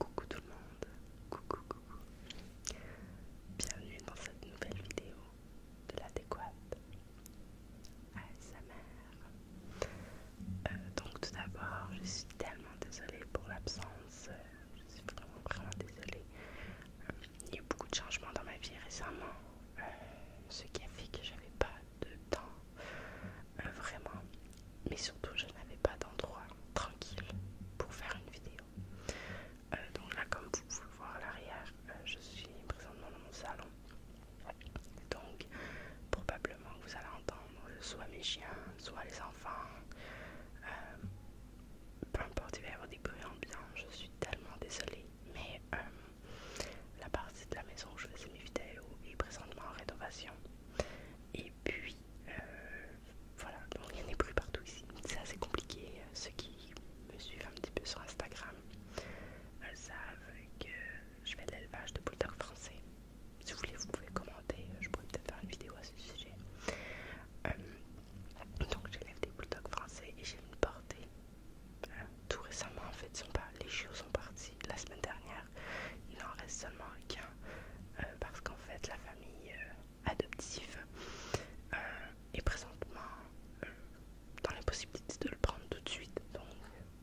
Coucou tout le monde, coucou coucou, bienvenue dans cette nouvelle vidéo de l'adéquate sa mère. Euh, donc tout d'abord, je suis tellement désolée pour l'absence, je suis vraiment vraiment désolée. Euh, il y a eu beaucoup de changements dans ma vie récemment, euh, ce qui a fait que j'avais pas de temps euh, vraiment, mais surtout je n'avais pas d'endroit tranquille pour faire une vidéo. donc là, comme vous pouvez le voir à l'arrière, je suis présentement dans mon salon. Donc probablement que vous allez entendre soit mes chiens, soit les enfants. peu importe, il va y avoir des bruits ambiants. Je suis tellement désolée mais euh, la partie de la maison où je faisais mes vidéos est présentement en rénovation. Et puis euh, voilà, il y en a plus partout ici. C'est assez compliqué. Ceux qui me suivent un petit peu sur Instagram Elles euh, savent que je fais de l'élevage de bulldogs français. Si vous voulez, vous pouvez commenter. Je pourrais peut-être faire une vidéo à ce sujet. donc j'élève des bulldogs français et j'ai une portée tout récemment en fait les chiots sont partis la semaine dernière il en reste seulement qu'un euh, parce qu'en fait la famille euh, adoptive euh, est présentement dans dans l'impossibilité de le prendre tout de suite donc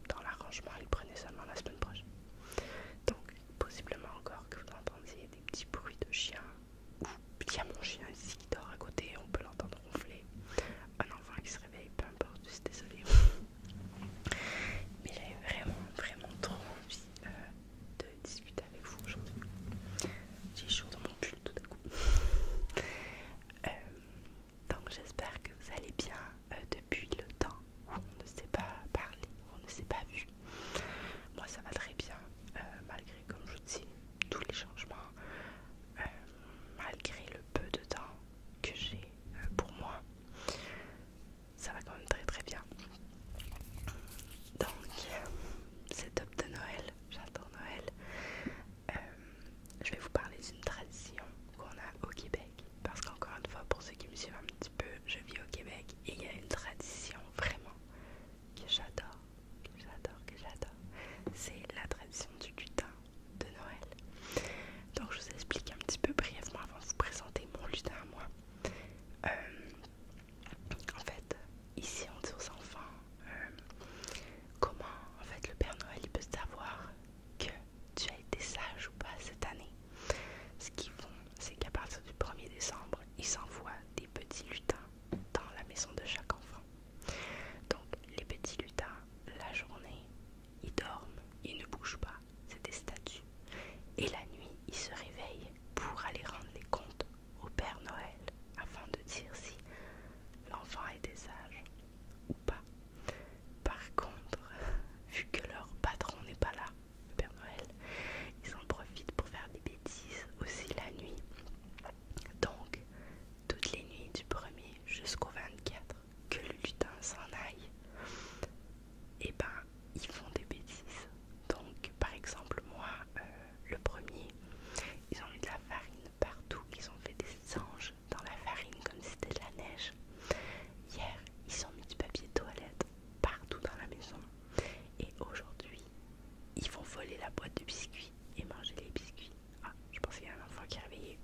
dans l'arrangement il prenait seulement la semaine prochaine donc possiblement encore que vous entendiez des petits bruits de chiens il y a mon chien ici qui dort à côté, on peut l'entendre ronfler, un enfant qui se réveille, peu importe, je suis désolée. Mais j'avais vraiment, vraiment trop envie euh, de discuter avec vous aujourd'hui. J'ai chaud dans mon pull tout à coup. Euh, donc j'espère que vous allez bien euh, depuis le temps où on ne s'est pas parlé, où on ne s'est pas vu. Moi ça va très bien, malgré comme je vous dis tous les changements, euh, malgré le peu de temps que j'ai euh, pour moi, ça va quand même très très bien. Donc, euh, c'est top de Noël, j'adore Noël. je vais vous parler d'une tradition qu'on a au Québec. Parce qu'encore une fois, pour ceux qui me suivent un petit peu, je vis au Québec et il y a une tradition vraiment que j'adore que j'adore, que j'adore, c'est la tradition du lutin de Noël. Donc je vous explique un petit peu brièvement avant de vous présenter mon lutin à moi. Euh, en fait, ici on dit aux enfants euh, comment en fait le Père Noël il peut savoir que tu as été sage ou pas cette année. Ce qu'ils font, c'est qu'à partir du 1er décembre, ils envoient des petits lutins dans la maison de chaque enfant. Donc les petits lutins, la journée, ils dorment, ils ne bougent pas, c'est des statues. Et la nuit, ils se réveillent pour aller rendre les comptes au Père Noël afin de dire si l'enfant était sage ou pas. Par contre, vu que leur patron n'est pas là, le Père Noël, ils en profitent pour faire des bêtises aussi la nuit. Donc, toutes les nuits du 1er jusqu'au 24, que le lutin s'en aille, et eh ben ils font des bêtises. Donc, par exemple, moi, euh, le 1er, ils ont mis de la farine partout, ils ont fait des anges dans la farine comme si c'était de la neige. Hier, ils ont mis du papier toilette partout dans la maison. Et aujourd'hui, ils vont voler la boîte de biscuits et manger les biscuits. Ah, je pense qu'il y a un enfant qui est réveillé.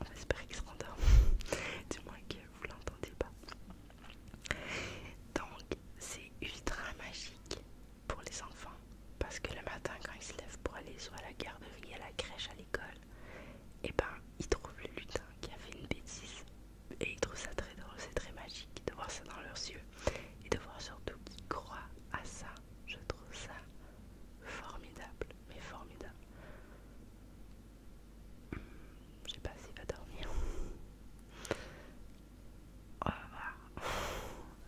On espère qu'il se rendorme. du moins que vous l'entendez pas. Donc, c'est ultra magique pour les enfants. Parce que le matin, quand ils se lèvent pour aller soit à la garderie, à la crèche, à l'école, et eh ben, ils trouvent le lutin qui a fait une bêtise et ils trouvent ça très drôle, c'est très magique de voir ça dans leurs yeux et de voir surtout qu'ils croient à ça. Je trouve ça formidable, mais formidable. Je sais pas s'il va dormir. On va voir.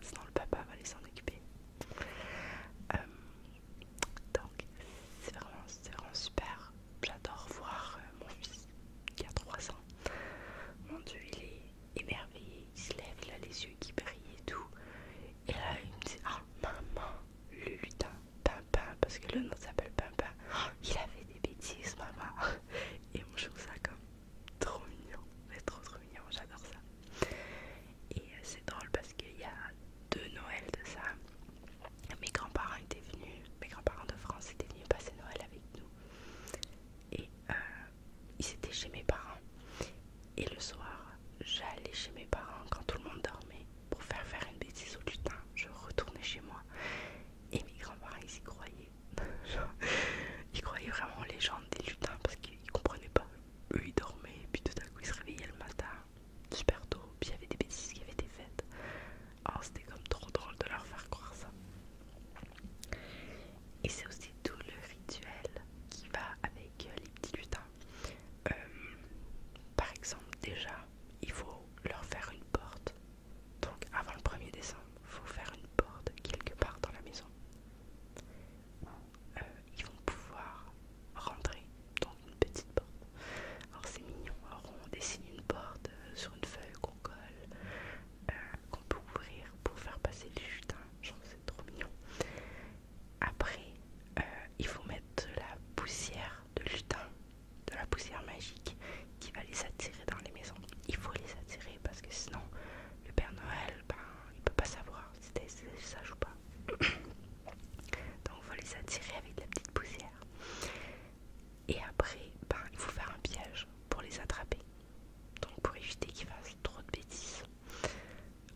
Sinon le papa va aller s'en occuper. Euh, donc c'est vraiment super J'adore voir euh, mon fils qui a 3 ans. Mon Dieu, il est émerveillé. Il se lève, il a les yeux qui brillent et tout. Et là, il me dit Ah, maman, le lutin, Pimpin, parce que le nom s'appelle Pimpin. Oh, il a fait des bêtises, maman. Et moi, je trouve ça comme trop mignon. C'est trop, trop mignon. J'adore ça. Et euh, c'est drôle parce qu'il y a deux Noëls de ça. Mes grands-parents étaient venus, mes grands-parents de France étaient venus passer Noël avec nous et euh, ils étaient chez mes parents. Et le soir, j'allais chez mes parents quand tout le monde dormait pour faire faire une bêtise au lutin. Je retournais chez moi. Et mes grands-parents, ils y croyaient. ils croyaient vraiment les légende des lutins parce qu'ils comprenaient pas. Eux, ils dormaient et puis tout à coup, ils se réveillaient le matin, super tôt. Puis il y avait des bêtises qui avaient été faites. Oh, c'était comme trop drôle de leur faire croire ça. Et c'est aussi tout le rituel qui va avec les petits lutins. Euh, par exemple, déjà, il faut leur faire une porte. Donc avant le 1er décembre, il faut faire une porte quelque part dans la maison. Euh, ils vont pouvoir rentrer dans une petite porte. Alors c'est mignon, on dessine une porte euh, sur une feuille qu'on colle, euh, qu'on peut ouvrir pour faire passer le trouve que c'est trop mignon. Après, euh, il faut mettre de la poussière de lutin, de la poussière magique qui va les attirer dans les maisons. Il faut les attirer parce que sinon le Père Noël, ben, il peut pas savoir si ça sage ou pas. Donc il faut les attirer avec de la petite poussière. Et après, ben, il faut faire un piège pour les attraper. Donc pour éviter qu'ils fassent trop de bêtises.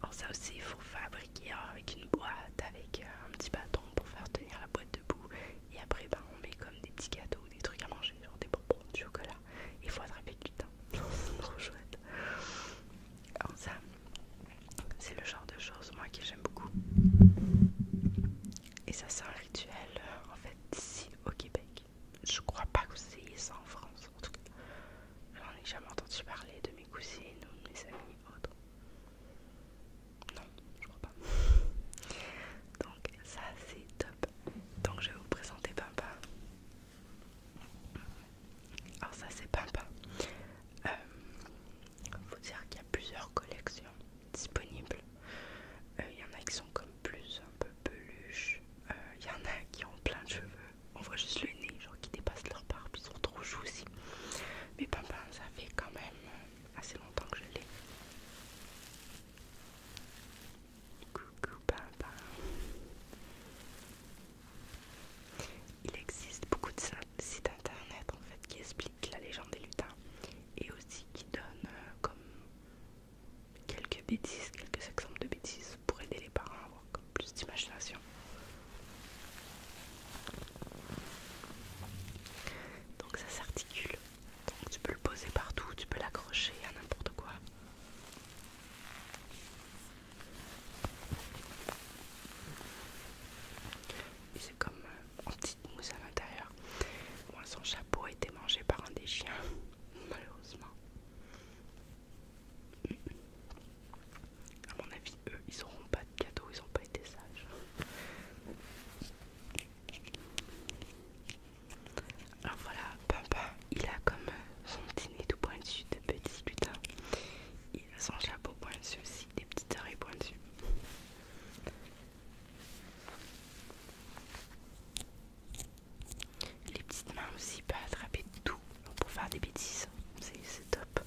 Alors ça aussi, il faut fabriquer avec une boîte, avec euh, un petit bâton pour faire tenir la boîte debout. Et après, ben, on met comme des petits cadeaux des trucs à manger, genre des bonbons, de chocolat. Il faut attraper du temps. trop chouette. Alors ça, c'est le genre de choses, moi, que j'aime beaucoup. Et ça, sert. Euh, en fait ici au Québec. Je crois pas que vous ayez ça en France en tout cas. J'en ai jamais entendu parler de mes cousines ou de mes amis autres. Non, je crois pas. Donc ça c'est top. Donc je vais vous présenter Pimpa. Alors ça c'est Pimpa. Il euh, faut dire qu'il y a plusieurs collections disponibles. Il euh, y en a qui sont comme plus un peu peluche. il euh, y en a qui ont plein de cheveux, on voit juste le nez, genre qui dépasse leur barbe, ils sont trop aussi Mais papa ça fait quand même euh, assez longtemps que je l'ai. Coucou papa Il existe beaucoup de sites internet en fait qui expliquent la légende des lutins et aussi qui donne euh, comme quelques bêtises, quelques exemples de bêtises pour aider les parents à avoir plus d'imagination. Donc ça s'articule. Tu peux le poser partout, tu peux l'accrocher à n'importe quoi. Et c'est comme euh, à l'intérieur. son chapeau a été mangé par un des chiens, malheureusement. À mon avis, eux, ils auront pas de cadeau, ils ont pas été sages. Alors voilà, Papa, il a comme son dîner tout pointu de petit lutin son chapeau pointu aussi, des petites oreilles pointues. Les petites mains aussi pas attraper tout pour faire des bêtises, c'est top.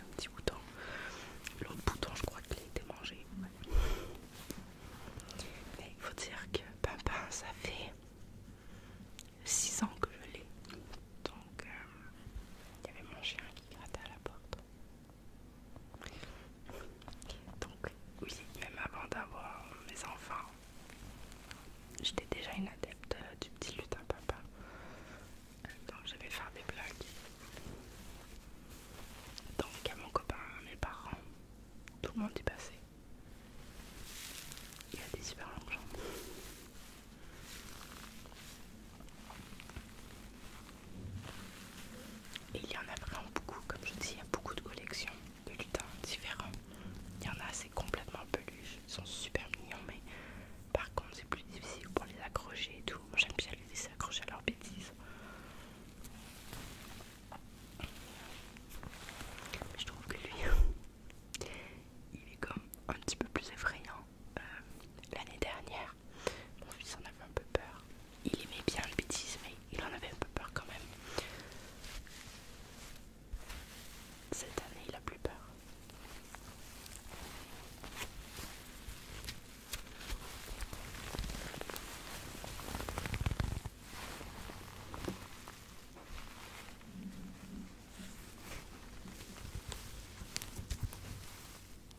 Un petit bouton. L'autre bouton, je crois qu'il a été mangé. Mais il faut dire que Pimpin, ça fait 6 ans que je l'ai. Donc, euh, il y avait mon chien qui grattait à la porte. Donc oui, même avant d'avoir mes enfants, j'étais déjà une adepte euh, du petit lutin papa. Donc je vais faire des blagues. Donc à mon copain, à mes parents, tout le monde est passé. Il a des super longues jambes il y en a vraiment beaucoup, comme je dis, il y a beaucoup de collections de lutins différents. Il y en a, c'est complètement peluche, ils sont super mignons, mais par contre, c'est plus difficile pour les accrocher et tout. Moi, j'aime bien les laisser accrocher à leurs bêtises. je trouve que lui, il est comme un petit peu plus effrayant. Euh, l'année dernière, mon fils en avait un peu peur. Il aimait bien le bêtise, mais il en avait un peu peur quand même. Cette année, il a plus peur.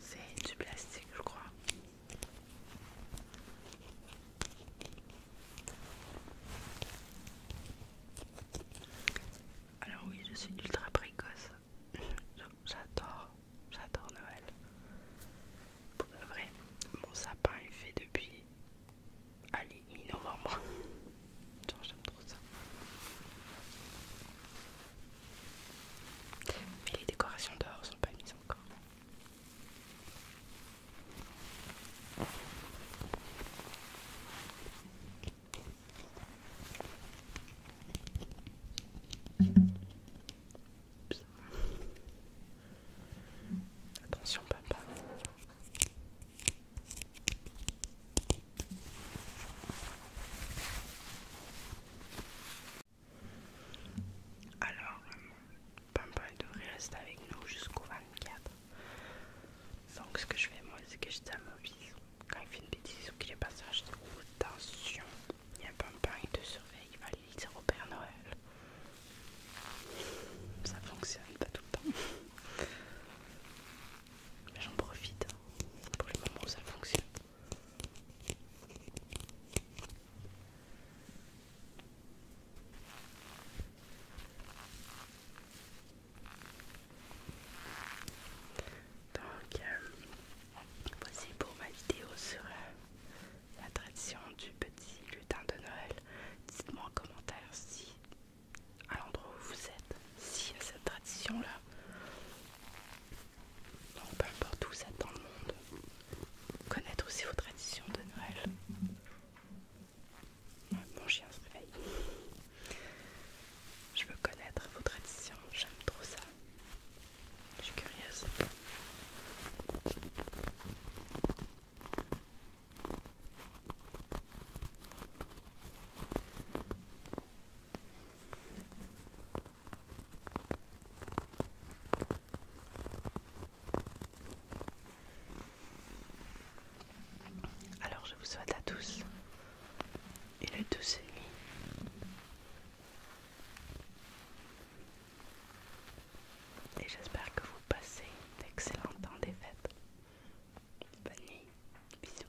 C'est du plastique, je crois. Alors oui, je suis ultra précoce. J'adore, j'adore Noël. Pour de vrai, mon sapin est fait depuis allez mi-novembre. J'aime trop ça. Mais les décorations dehors sont pas mises encore. Attention papa. Alors, devrait rester avec nous jusqu'au 24. Donc, ce que je fais moi, c'est que je dis quand il fait une bêtise ou qu'il est passage, dis, oh, attention, il y a Pimpin de te surveille, il va aller dire au Père Noël. Ça fonctionne pas tout le temps. mais J'en profite pour le moment où ça fonctionne. Donc, euh, voici pour ma vidéo sur euh, la tradition du petit lutin de Noël. Dites-moi en commentaire si, à l'endroit où vous êtes, si y a cette tradition-là. Peu peu importe où ça dans le monde. Connaître aussi vos traditions de Noël. mon chien se réveille. Je veux connaître vos traditions, j'aime trop ça. Je suis curieuse. Alors je vous souhaite à tous une douce nuit et j'espère que vous passez d'excellents temps des fêtes. Bonne nuit, bisous.